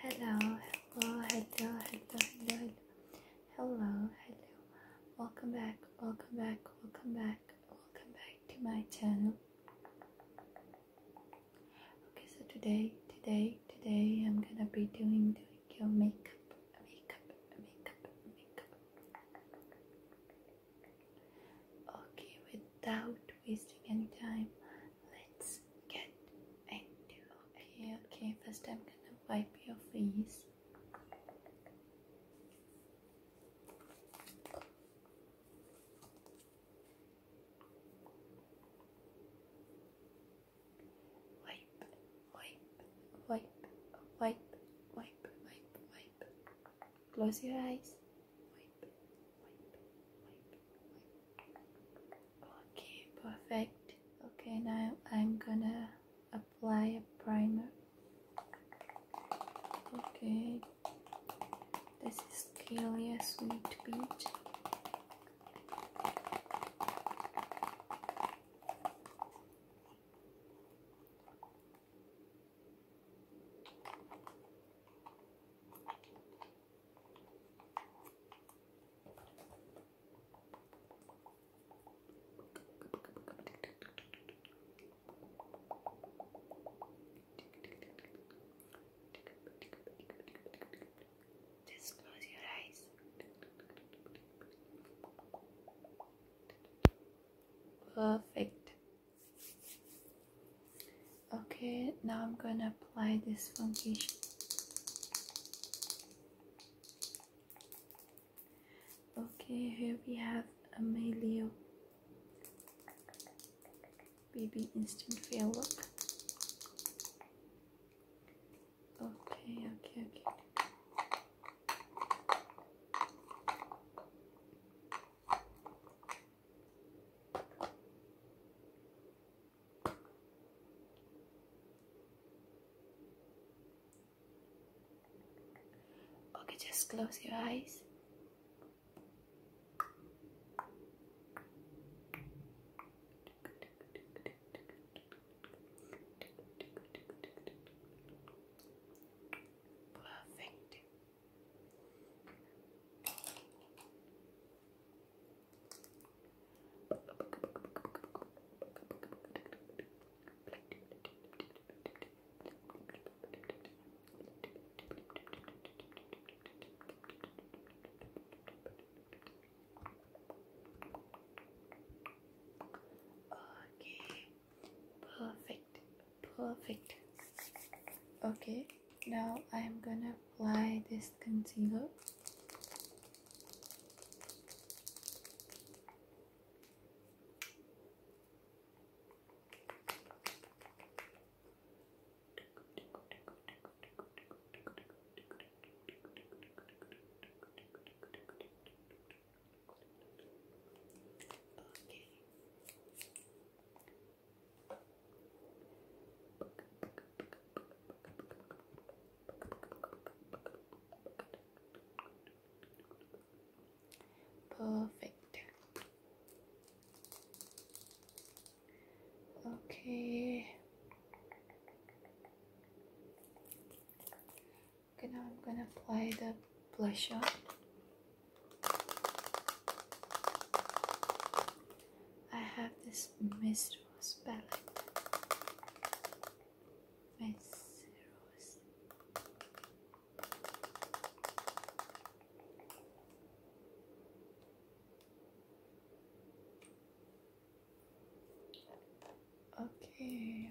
Hello, hello, hello, hello, hello, hello, hello. Welcome back, welcome back, welcome back, welcome back to my channel. Okay, so today, today, today, I'm gonna be doing doing your makeup, makeup, makeup, makeup. Okay, without wasting any time. Let's get into okay, okay, first I'm gonna wipe your face. Wipe, wipe, wipe, wipe, wipe, wipe, wipe. Close your eyes okay perfect okay now I'm gonna apply a primer okay this is Kalia Sweet Peach just close your eyes. Perfect. Okay, now I'm gonna apply this foundation. Okay, here we have a Amelio Baby Instant Fail Look. Okay, okay, okay. Okay, just close your eyes. Perfect. Okay, perfect, perfect. Okay, now I'm gonna apply this concealer. Okay. Perfect. Okay. Okay, now I'm gonna apply the blusher. I have this Misrose palette. Misrose. Okay.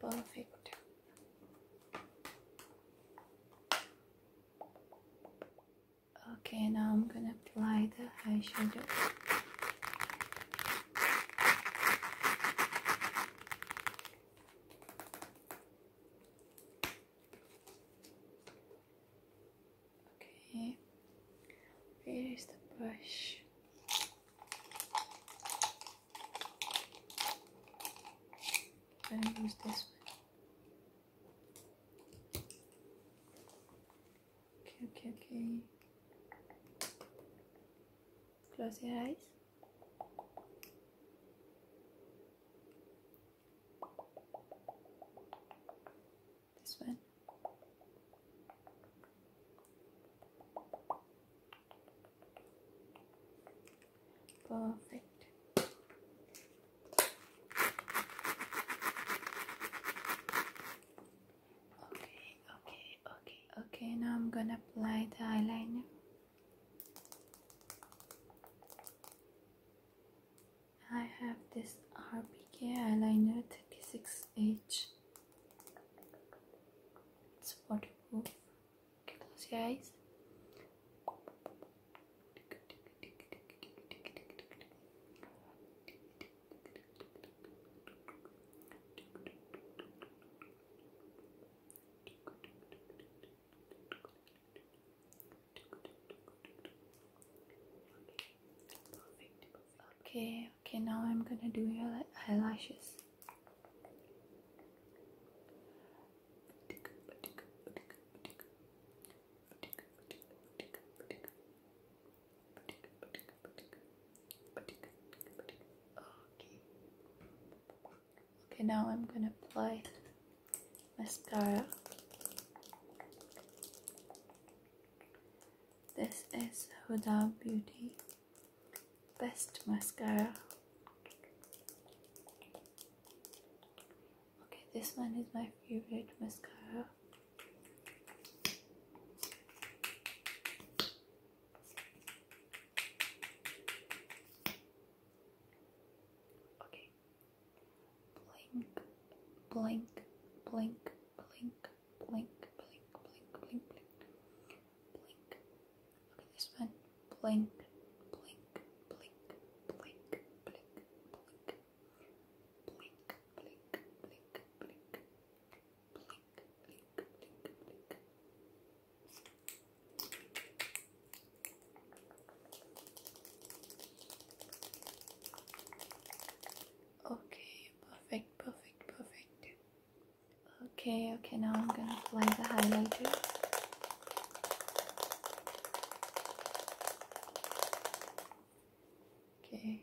Perfect. Okay, now I'm gonna apply the eyeshadow. Okay, where is the brush? i use this one. okay, okay. Close your eyes. This one. Perfect. Okay, okay, okay, okay. Now I'm gonna apply the eyeliner. I have this RBK eyeliner 36H it's waterproof. Okay, close your eyes. Okay, okay now i'm gonna do your eyelashes Okay. Okay, now I'm gonna apply mascara. This is Huda Beauty best mascara okay this one is my favorite mascara okay blink blink blink blink blink, blink, blink, blink, blink, blink. Look at this one. Blink, blink, blink, blink, blink, blink, blink, blink, blink, blink, blink, blink, blink, Okay, perfect, perfect, perfect. Okay, okay, now I'm gonna apply the highlighter. Okay.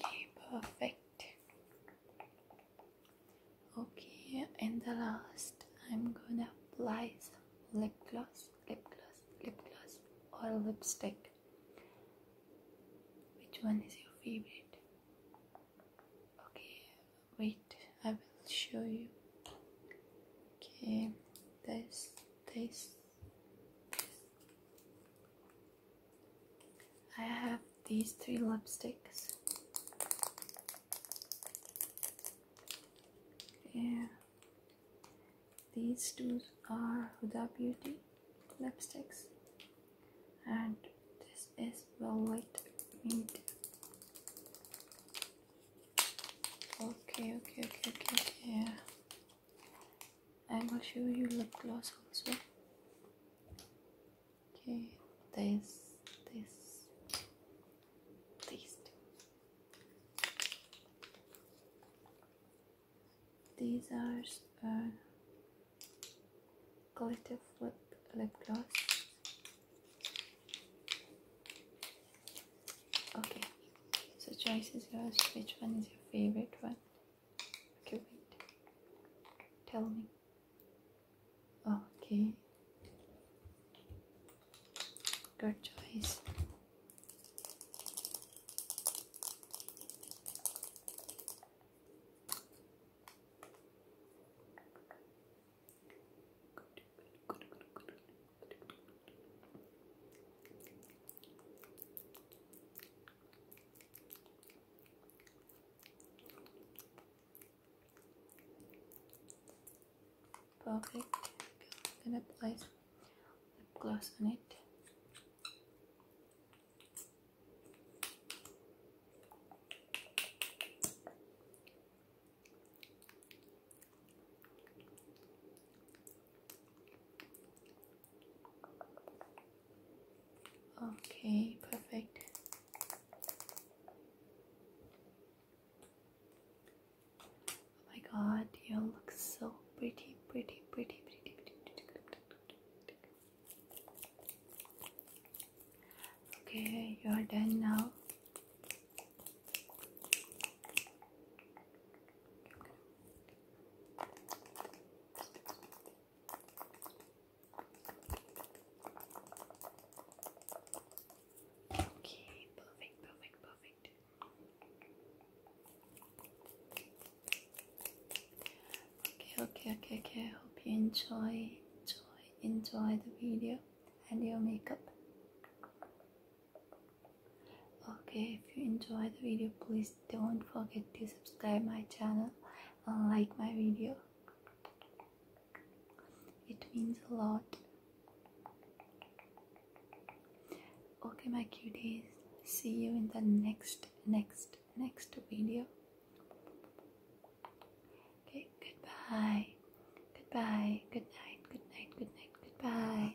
Okay, perfect. Okay, and the last, I'm gonna apply some lip gloss, lip gloss, lip gloss, or lipstick. Which one is your favorite? Okay, wait, I will show you. Okay, this, this. I have these three lipsticks. Yeah. These two are Huda Beauty lipsticks and this is Velvet Meat. Okay, okay, okay, okay, okay i will show you lip gloss also. Okay, this, this, these These are uh, glitter flip lip gloss. Okay, so choice is yours. Which one is your favorite one? Okay, Tell me. Okay. Good choice. Perfect. Then apply lip gloss on it. Okay, perfect. Oh my god, you look so pretty, pretty, pretty, pretty, pretty, pretty, pretty. Okay, you are done now. Okay, perfect, perfect, perfect. Okay, okay, okay, okay. I hope you enjoy, enjoy, enjoy the video and your makeup okay if you enjoyed the video please don't forget to subscribe my channel and like my video it means a lot okay my cuties see you in the next next next video okay goodbye goodbye good night good goodbye